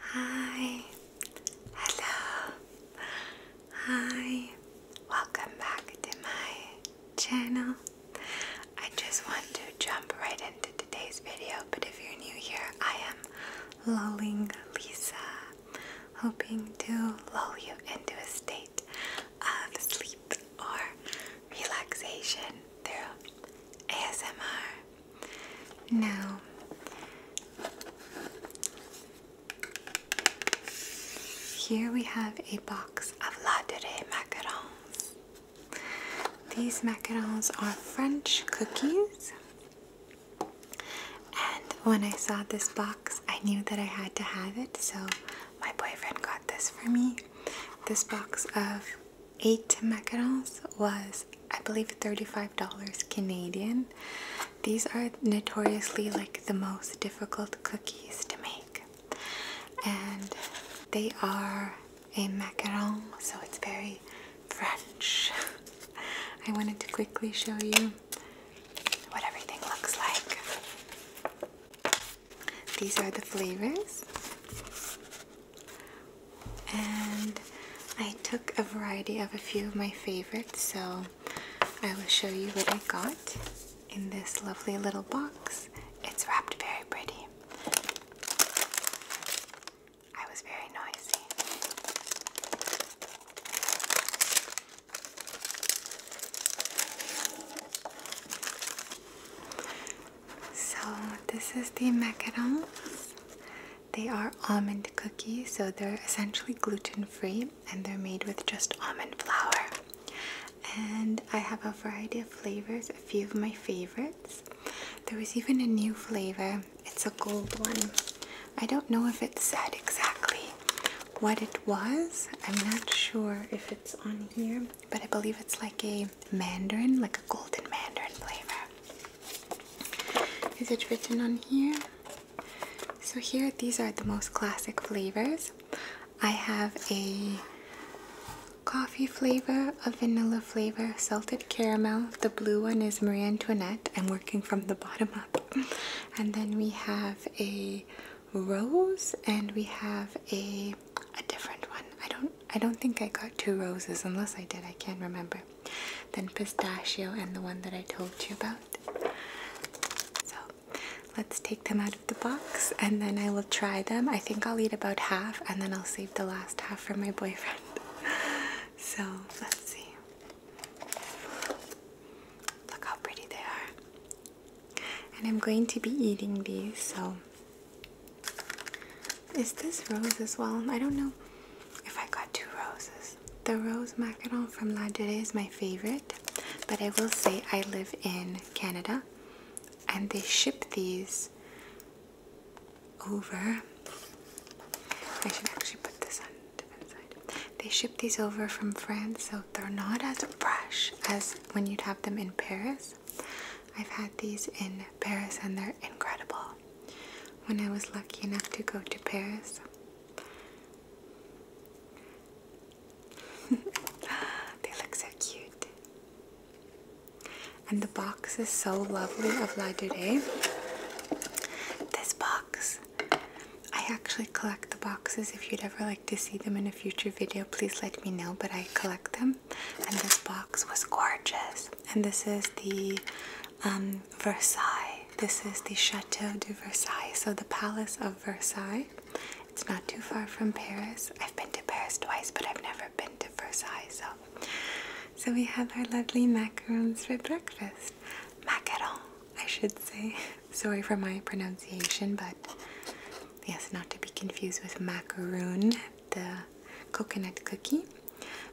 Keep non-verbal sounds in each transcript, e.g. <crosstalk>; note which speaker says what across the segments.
Speaker 1: Hi, hello, hi, welcome back to my channel. I just want to jump right into today's video, but if you're new here, I am lulling Lisa, hoping to lull you into a state of sleep or relaxation through ASMR. Now, here we have a box of latere macarons. These macarons are French cookies. And when I saw this box, I knew that I had to have it, so my boyfriend got this for me. This box of eight macarons was I believe $35 Canadian. These are notoriously like the most difficult cookies to make. And they are a macaron, so it's very French. <laughs> I wanted to quickly show you what everything looks like. These are the flavors and I took a variety of a few of my favorites so I will show you what I got in this lovely little box. It's wrapped very pretty. I was very noisy. So this is the macarons. They are almond cookies, so they're essentially gluten-free and they're made with just almond flour. And I have a variety of flavors, a few of my favorites. There was even a new flavor. It's a gold one. I don't know if it said exactly what it was. I'm not sure if it's on here, but I believe it's like a mandarin, like a golden mandarin flavor. Is it written on here? So here, these are the most classic flavors. I have a coffee flavor, a vanilla flavor, salted caramel. The blue one is Marie Antoinette. I'm working from the bottom up. And then we have a rose and we have a a different one. I don't I don't think I got two roses unless I did, I can't remember. Then pistachio and the one that I told you about. So let's take them out of the box and then I will try them. I think I'll eat about half and then I'll save the last half for my boyfriend. <laughs> So let's see. Look how pretty they are. And I'm going to be eating these, so is this rose as well? I don't know if I got two roses. The rose macaron from La Durée is my favorite, but I will say I live in Canada and they ship these over. I should actually put this on the side. They ship these over from France, so they're not as fresh as when you'd have them in Paris. I've had these in Paris and they're incredible. When I was lucky enough to go to Paris, <laughs> they look so cute. And the box is so lovely of La Durée. This box, I actually collect the boxes. If you'd ever like to see them in a future video, please let me know. But I collect them, and this box was gorgeous. And this is the um, Versailles. This is the Chateau de Versailles, so the Palace of Versailles. It's not too far from Paris. I've been to Paris twice, but I've never been to Versailles. So, so we have our lovely macarons for breakfast. Macarons, I should say. <laughs> Sorry for my pronunciation, but yes, not to be confused with macaroon the coconut cookie.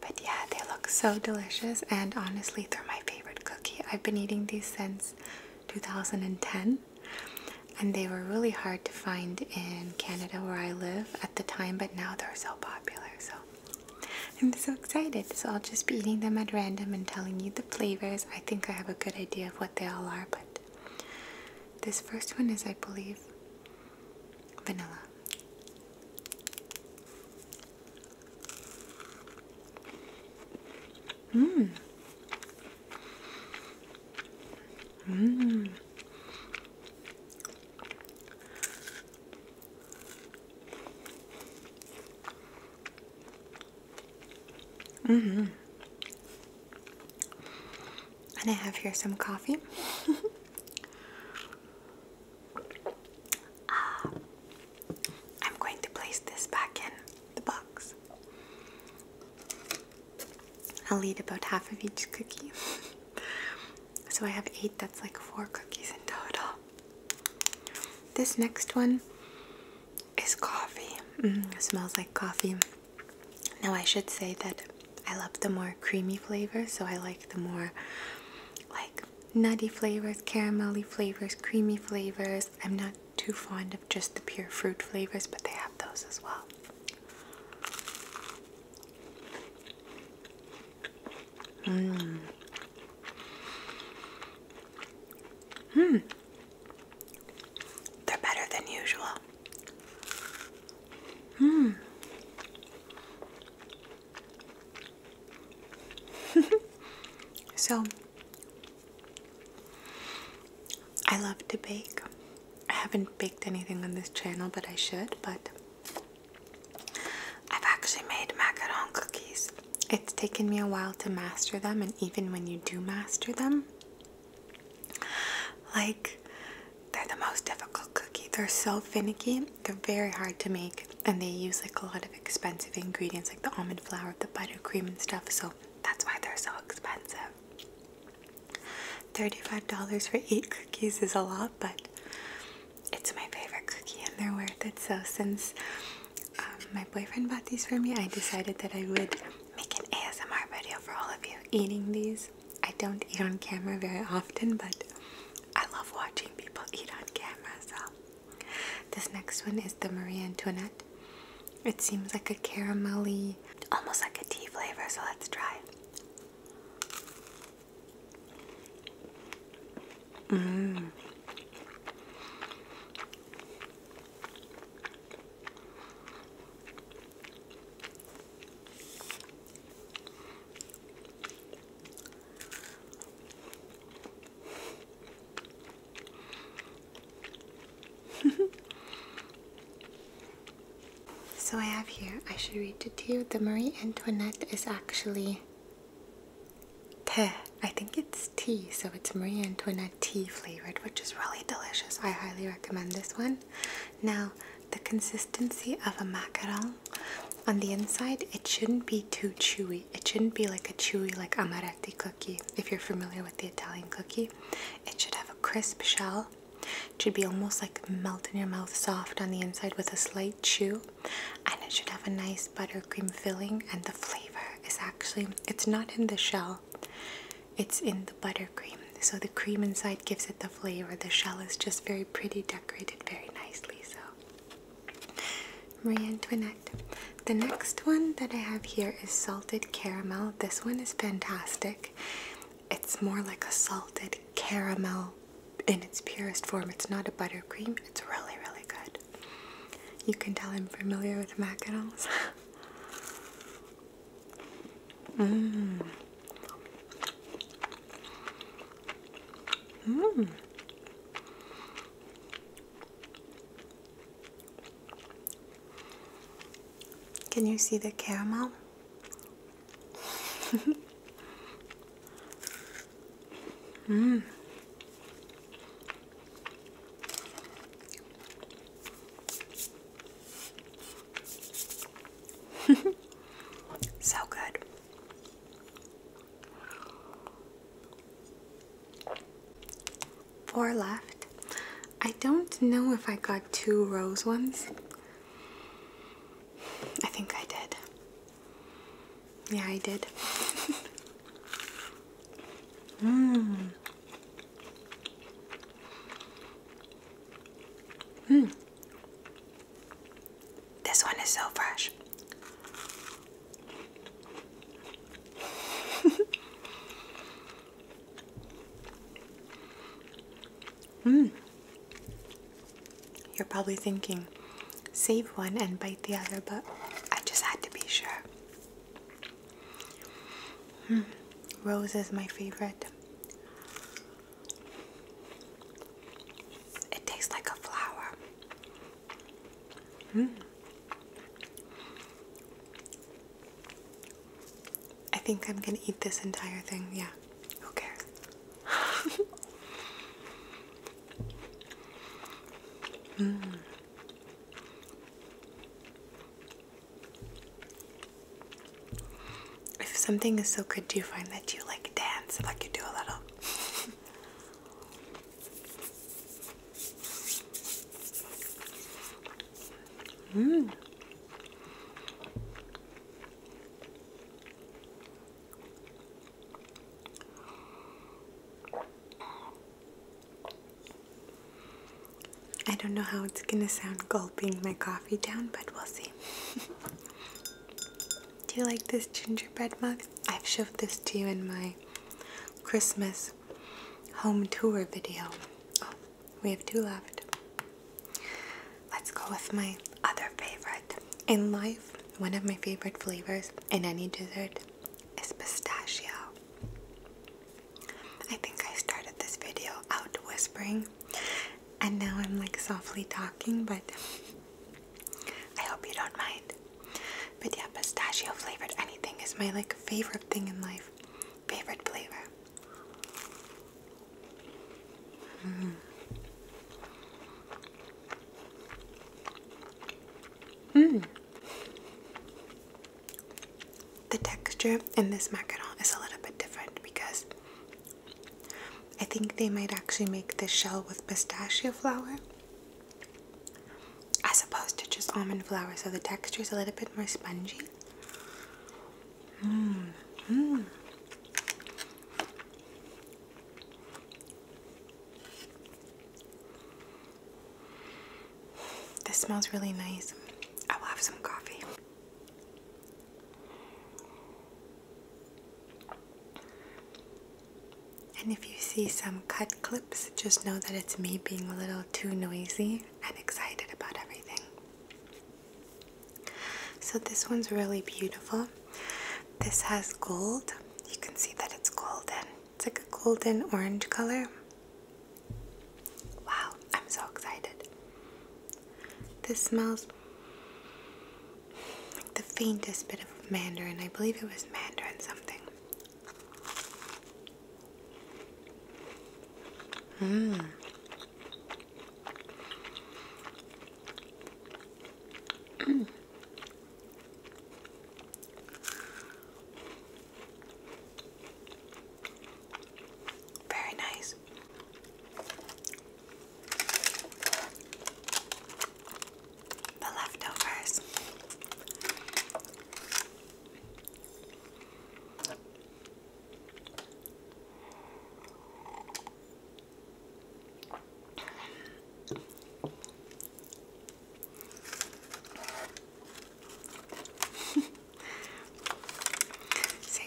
Speaker 1: But yeah, they look so delicious, and honestly, they're my favorite cookie. I've been eating these since 2010, and they were really hard to find in Canada where I live at the time, but now they're so popular. So I'm so excited. So I'll just be eating them at random and telling you the flavors. I think I have a good idea of what they all are, but this first one is, I believe, vanilla. Mmm. Mmm. hmm and I have here some coffee. <laughs> Ah, I'm going to place this back in the box. I'll eat about half of each cookie. <laughs> so I have eight, that's like four cookies in total. This next one is coffee. Mm, smells like coffee. Now I should say that I love the more creamy flavors, so I like the more like nutty flavors, caramelly flavors, creamy flavors. I'm not too fond of just the pure fruit flavors, but they have those as well. Mmm. Hmm. They're better than usual. Hmm. <laughs> so, I love to bake. I haven't baked anything on this channel, but I should. But I've actually made macaron cookies. It's taken me a while to master them, and even when you do master them, like, they're the most difficult cookie. They're so finicky. They're very hard to make, and they use like a lot of expensive ingredients, like the almond flour, the buttercream, and stuff. So that's why they're so expensive. $35 for eight cookies is a lot, but it's my favorite cookie and they're worth it. So, since um, my boyfriend bought these for me, I decided that I would Making an ASMR video for all of you eating these. I don't eat on camera very often, but I love watching people eat on camera, so. This next one is the Marie Antoinette. It seems like a caramelly, almost like a tea flavor, so let's try. Mmm. <laughs> so I have here, I should read it to you. The Marie Antoinette is actually te. I think it's tea, so it's Marie Antoinette tea flavored, which is really delicious. I highly recommend this one. Now, the consistency of a macaron on the inside, it shouldn't be too chewy. It shouldn't be like a chewy, like amaretti cookie, if you're familiar with the Italian cookie. It should have a crisp shell. It should be almost like melt in your mouth, soft on the inside with a slight chew. And it should have a nice buttercream filling and the flavor is actually, it's not in the shell. It's in the buttercream, so the cream inside gives it the flavor. The shell is just very pretty, decorated very nicely. So, Marie Antoinette. The next one that I have here is salted caramel. This one is fantastic. It's more like a salted caramel in its purest form. It's not a buttercream. It's really, really good. You can tell I'm familiar with macarons. <laughs> Mmm. Mmm. Can you see the caramel? <laughs> Mmm. <laughs> so good. Four left. I don't know if I got two rose ones. I think I did. Yeah, I did. <laughs> Mm. Mm. This one is so fresh. <laughs> mm. You're probably thinking, save one and bite the other, but I just had to be sure. Hmm. rose is my favorite. It tastes like a flower. Hmm. I think I'm gonna eat this entire thing, yeah. Okay. cares? <laughs> Hmm. If something is so good, do you find that you like dance? Like you do a little. Mmm. I don't know how it's gonna sound gulping my coffee down, but we'll see. <laughs> Do you like this gingerbread mug? I've showed this to you in my Christmas home tour video. Oh, we have two left. Let's go with my other favorite. In life, one of my favorite flavors in any dessert is pistachio. I think I started this video out whispering and now I'm like softly talking, but I hope you don't mind. But yeah, pistachio flavored anything is my like favorite thing in life. Favorite flavor. Mm-hmm. Mmm. The texture in this macaron is a little bit different because I think they might actually make this shell with pistachio flour as opposed to just almond flour, so the texture is a little bit more spongy. Mmm. Mmm. This smells really nice. I will have some coffee. And if you see some cut clips, just know that it's me being a little too noisy and excited about everything. So this one's really beautiful. This has gold. You can see that it's golden. It's like a golden orange color. Wow, I'm so excited. This smells like the faintest bit of mandarin. I believe it was mandarin something. Mmm. Very nice. The leftovers. <laughs> so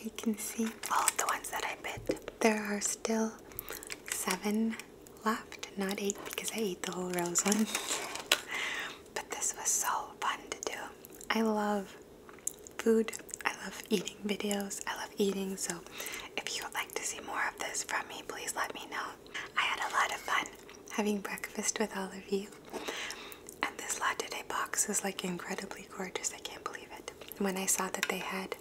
Speaker 1: you can see all the ones that I bit. There are still seven left, not eight because I ate the whole rose one. <laughs> but this was so fun to do. I love food. I love eating videos. I love eating, so if you would like to see more of this from me, please let me know. I had a lot of fun having breakfast with all of you. And this latte box is like incredibly gorgeous. I can't believe it. When I saw that they had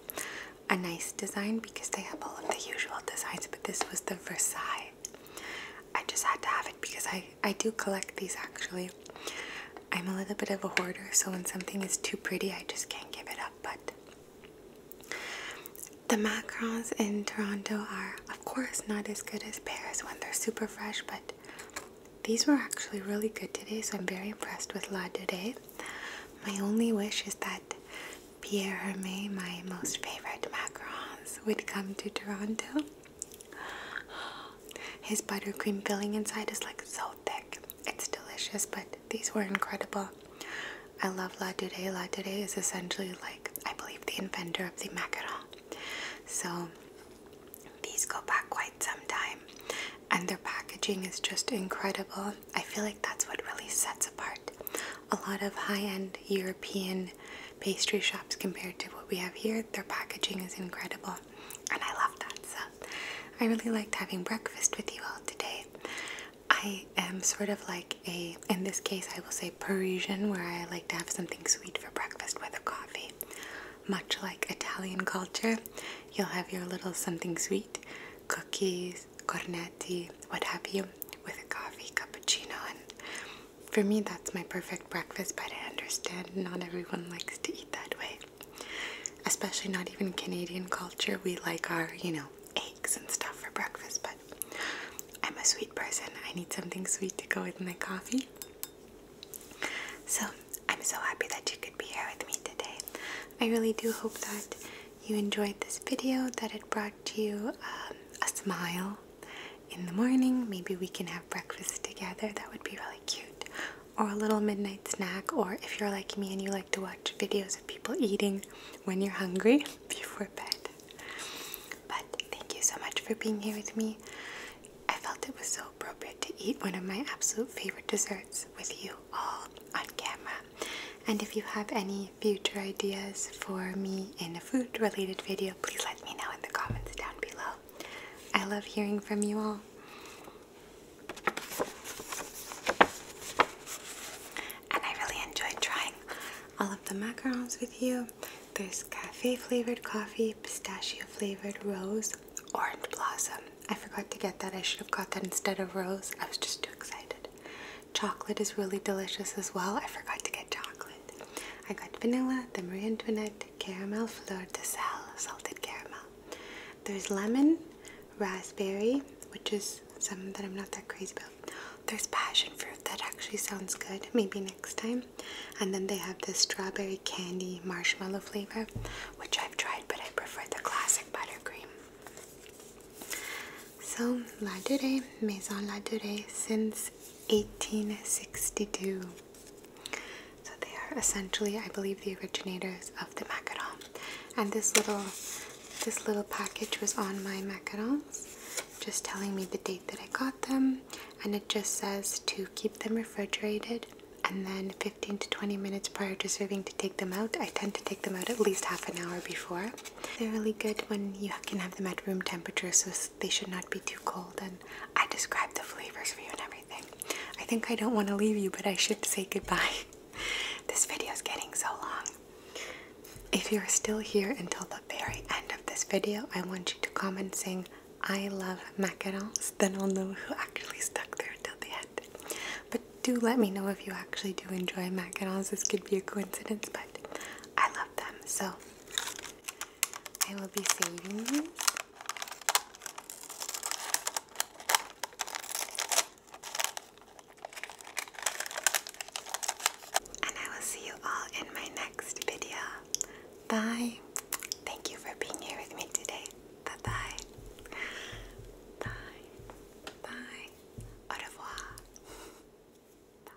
Speaker 1: a nice design because they have all of the usual designs, but this was the Versailles. I just had to have it because I, I do collect these actually. I'm a little bit of a hoarder, so when something is too pretty, I just can't give it up. But the macarons in Toronto are, of course, not as good as Paris when they're super fresh, but these were actually really good today, so I'm very impressed with La Today. My only wish is that Pierre Hermé, my most favorite macarons, would come to Toronto. <gasps> His buttercream filling inside is like so thick. It's delicious, but these were incredible. I love La Dude. La Dude is essentially like, I believe, the inventor of the macaron. So these go back quite some time, and their packaging is just incredible. I feel like that's what really sets apart a lot of high end European pastry shops compared to what we have here. Their packaging is incredible, and I love that. So I really liked having breakfast with you all today. I am sort of like a, in this case, I will say Parisian, where I like to have something sweet for breakfast with a coffee. Much like Italian culture, you'll have your little something sweet, cookies, cornetti, what have you, with a coffee, cappuccino. And for me, that's my perfect breakfast, but I understand not everyone likes to eat that way. Especially not even Canadian culture. We like our, you know, eggs and stuff for breakfast, but I'm a sweet person. I need something sweet to go with my coffee. So, I'm so happy that you could be here with me today. I really do hope that you enjoyed this video, that it brought you um, a smile in the morning. Maybe we can have breakfast together, that would be really cute. Or a little midnight snack, or if you're like me and you like to watch videos of people eating when you're hungry <laughs> before bed. But thank you so much for being here with me. I felt it was so appropriate to eat one of my absolute favorite desserts with you all on camera. And if you have any future ideas for me in a food related video, please let me know in the comments down below. I love hearing from you all. And I really enjoyed trying all of the macarons with you. There's cafe flavored coffee, pistachio flavored rose, orange blossom. I forgot to get that. I should have got that instead of rose. I was just too excited. Chocolate is really delicious as well. I forgot to get chocolate. I got vanilla, the Marie Antoinette, caramel fleur de sel, salted caramel. There's lemon, raspberry, which is some that I'm not that crazy about. There's passion fruit that actually sounds good, maybe next time. And then they have the strawberry candy marshmallow flavor, which I've tried, but I prefer the classic buttercream. So, La Durée, Maison La Durée, since 1862. So, they are essentially, I believe, the originators of the macaron and this little this little package was on my macarons just telling me the date that I got them and it just says to keep them refrigerated and then 15 to 20 minutes prior to serving to take them out. I tend to take them out at least half an hour before. They're really good when you can have them at room temperature so they should not be too cold and I described the flavors for you and everything. I think I don't want to leave you but I should say goodbye. <laughs> this video is getting so long. If you're still here until the very end of this video, I want you to comment saying, I love macarons. Then I'll know who actually stuck there till the end. But do let me know if you actually do enjoy macarons. This could be a coincidence, but I love them. So I will be saving you. And I will see you all in my next video. Bye. Thank you for being here with me today. Bye bye. Bye. Bye. Au revoir. Bye.